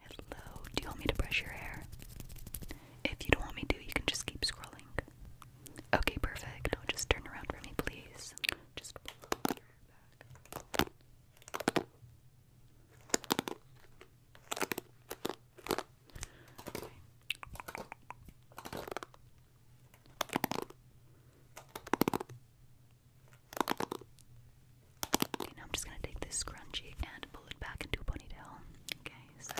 Hello, do you want me to brush your hair? If you don't want me to, you can just keep scrolling. Okay, perfect. do just turn around for me, please. Just pull your hair back. Okay, I'm just gonna take this scrunchie and pull it back into a ponytail. Okay, so.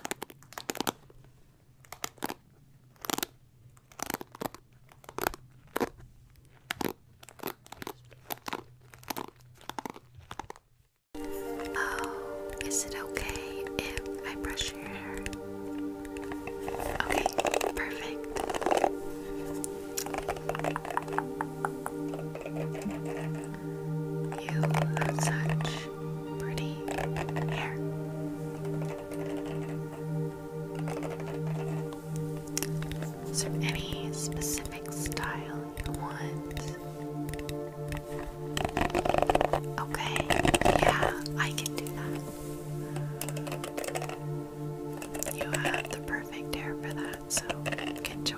Oh, is it okay if I brush your hair? Okay, perfect. You have such pretty hair. So any specific style you want? Okay, yeah, I can do that. You have the perfect hair for that, so good job.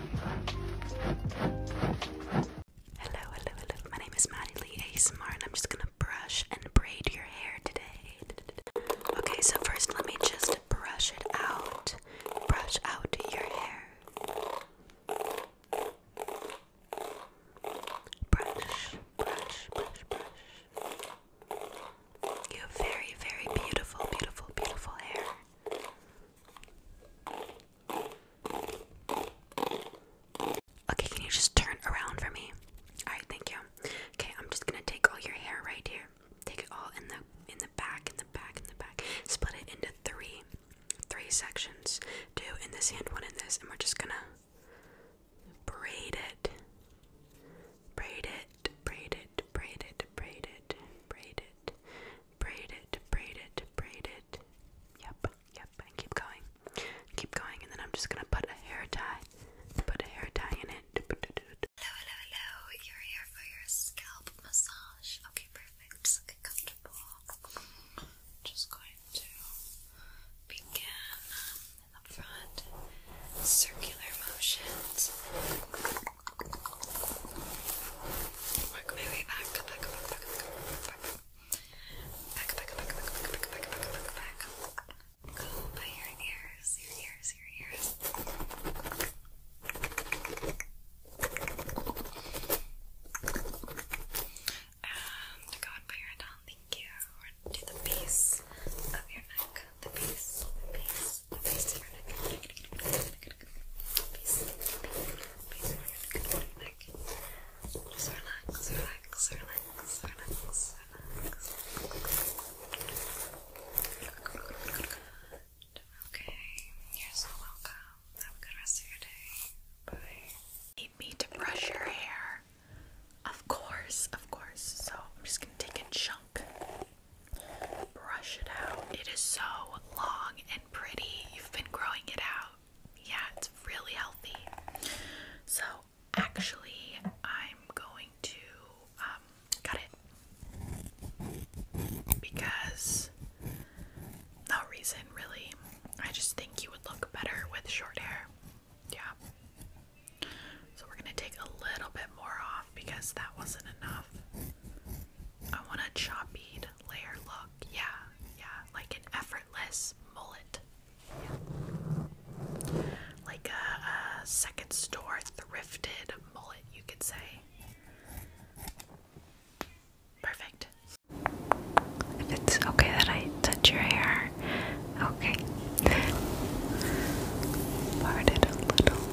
Hello, hello, hello. My name is Maddie Lee ASMR, and I'm just gonna brush and braid your hair today. Okay, so first let me just brush it out. Brush out your hair. Brush, brush, brush, brush. You have very, very beautiful, beautiful, beautiful hair. Okay, can you just turn around for me? Alright, thank you. Okay, I'm just gonna take all your hair right here. Take it all in the in the back, in the back, in the back. Split it into three three sections. Do in this hand, one in this, and we're just gonna braid it. Braid it, braid it, braid it, braid it, braid it, braid it, braid it, braid it. Yep, yep, and keep going. Keep going, and then I'm just gonna put a hair tie. Put a hair tie in it. Hello, hello, hello. You're here for your scalp massage. Okay, perfect. Just get comfortable. Just going to begin in the front. Circular motions. Work my way back, back, back, back, back, back, back, back, back, back, back, back, back, back, back, back. Go by your ears, your ears, your ears. And go on by your down, thank you. To the base of your neck, the base, the base. Just relax, relax, relax, relax, Okay, you're so welcome. Have a good rest of your day. Bye. need me to brush your hair? Of course, of course. So I'm just gonna take a chunk. Brush it out. It is so long and pretty. You've been growing it out. Yeah, it's really healthy. So, actually, I'm going to um, cut it because no reason really. I just think you would look better with short hair. Yeah. So, we're going to take a little bit more off because that wasn't enough. I want a choppied layer look. Yeah, yeah, like an effortless mullet. Yeah. Like a, a second store thrifted mullet, you could say. Perfect. If it's okay that I touch your hair, okay. Part it a little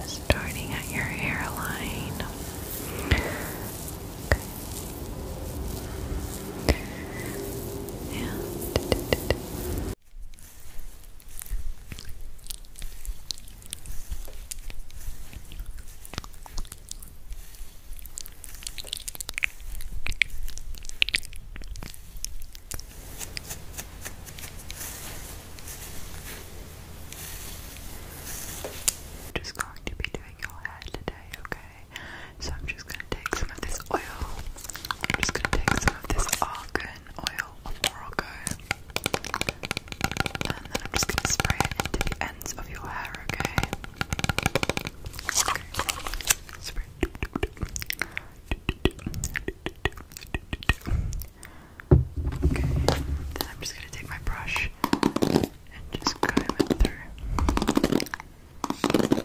Just starting at your hairline. Okay. I'm just going to be doing your hair today, okay? So I'm just going to take some of this oil. I'm just going to take some of this argan oil. And then I'm just going to spray it into the ends of your hair, okay? Spray. Okay. I'm just going to take my brush and just comb it through.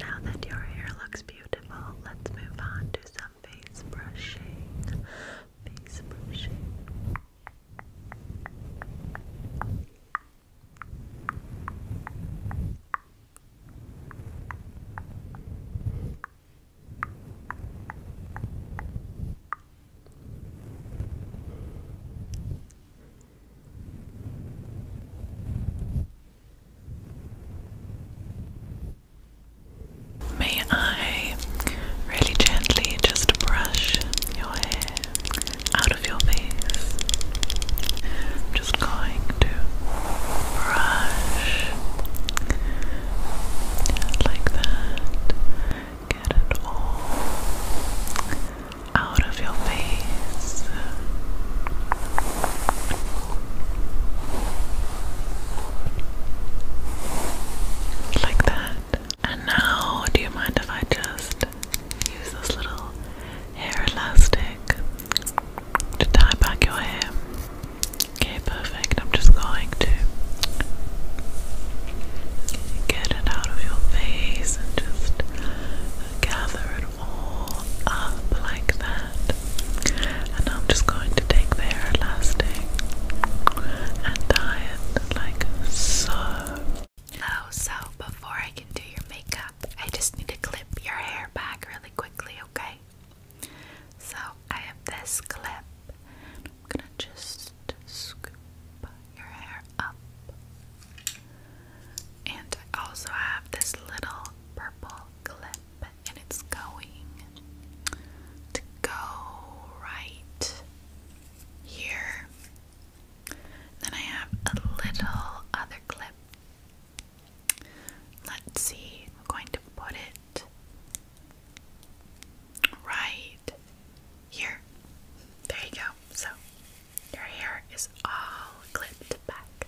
Now that your hair looks beautiful. Let's move on to some face brushing. Face brushing. May I really gently just brush your hair out of your face? I'm just going to brush like that. Get it all out of your face. Like that. And now, do you mind if I just use this little hair elastic to tie back your hair? Okay, perfect. I'm just going to get it out of your face and just gather it more up like that. And I'm just going to take their elastic and tie it like so. Oh, so before I can do your makeup, I just need to clip your hair back really quickly, okay? So I have this clip. I'm gonna just scoop your hair up. And I also have this little purple clip, and it's going to go right here. Then I have a little other clip. Let's see, I'm going to put it right here. There you go. So your hair is all clipped back.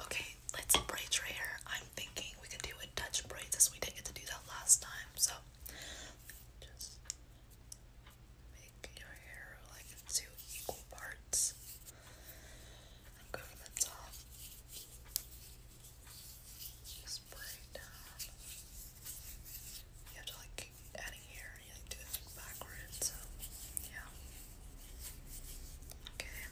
Okay, let's braid your hair. I'm thinking we can do a Dutch braid since we didn't get to do that last time. So just make your hair like into equal parts and go from the top. Just braid down. You have to like adding hair and you like do it backwards, so yeah. Okay.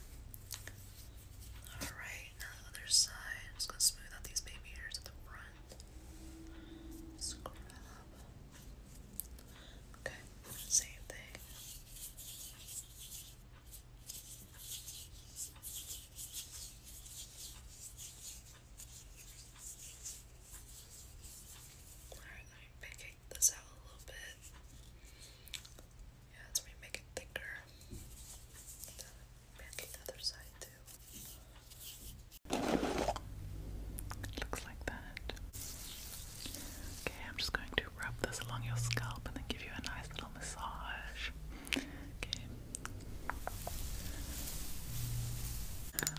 Alright, now the other side. I'm just gonna smooth out these baby hairs at the front. Scrub. Okay, same thing. Alright, let me pick this out a little bit. Yeah, let me make it thicker. Back the other side looks like that. Okay, I'm just going to rub this along your scalp and then give you a nice little massage. Okay.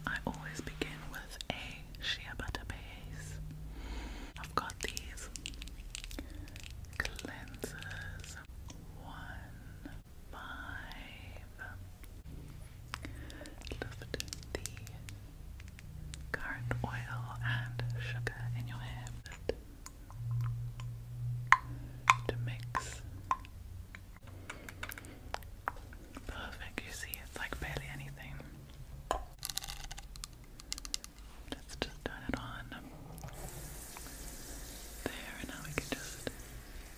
I always begin with a shea butter base. I've got these cleansers one by loved the currant oil and sugar in your hair to mix perfect, you see it's like barely anything just turn it on there and now we can just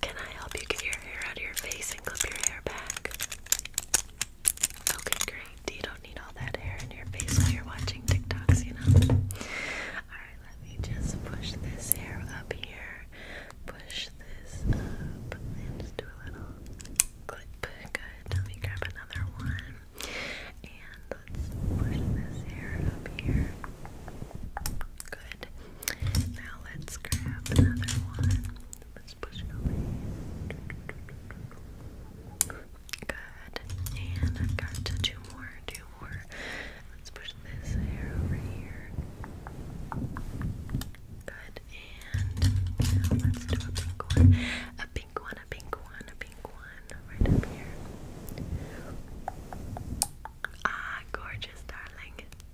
Can I help you get your hair out of your face and clip your hair back? Okay, great. You don't need all that hair in your face while you're watching TikToks, you know? Alright, let me just push this hair up here. Push this up and do a little clip. Good. Let me grab another one. And let's push this hair up here. Good. Now let's grab another one. Let's push it over Good. And I've got to two more, two more. Let's push this hair over here. Good. And now let's do A pink one, a pink one, a pink one. Right up here. Ah, gorgeous, darling.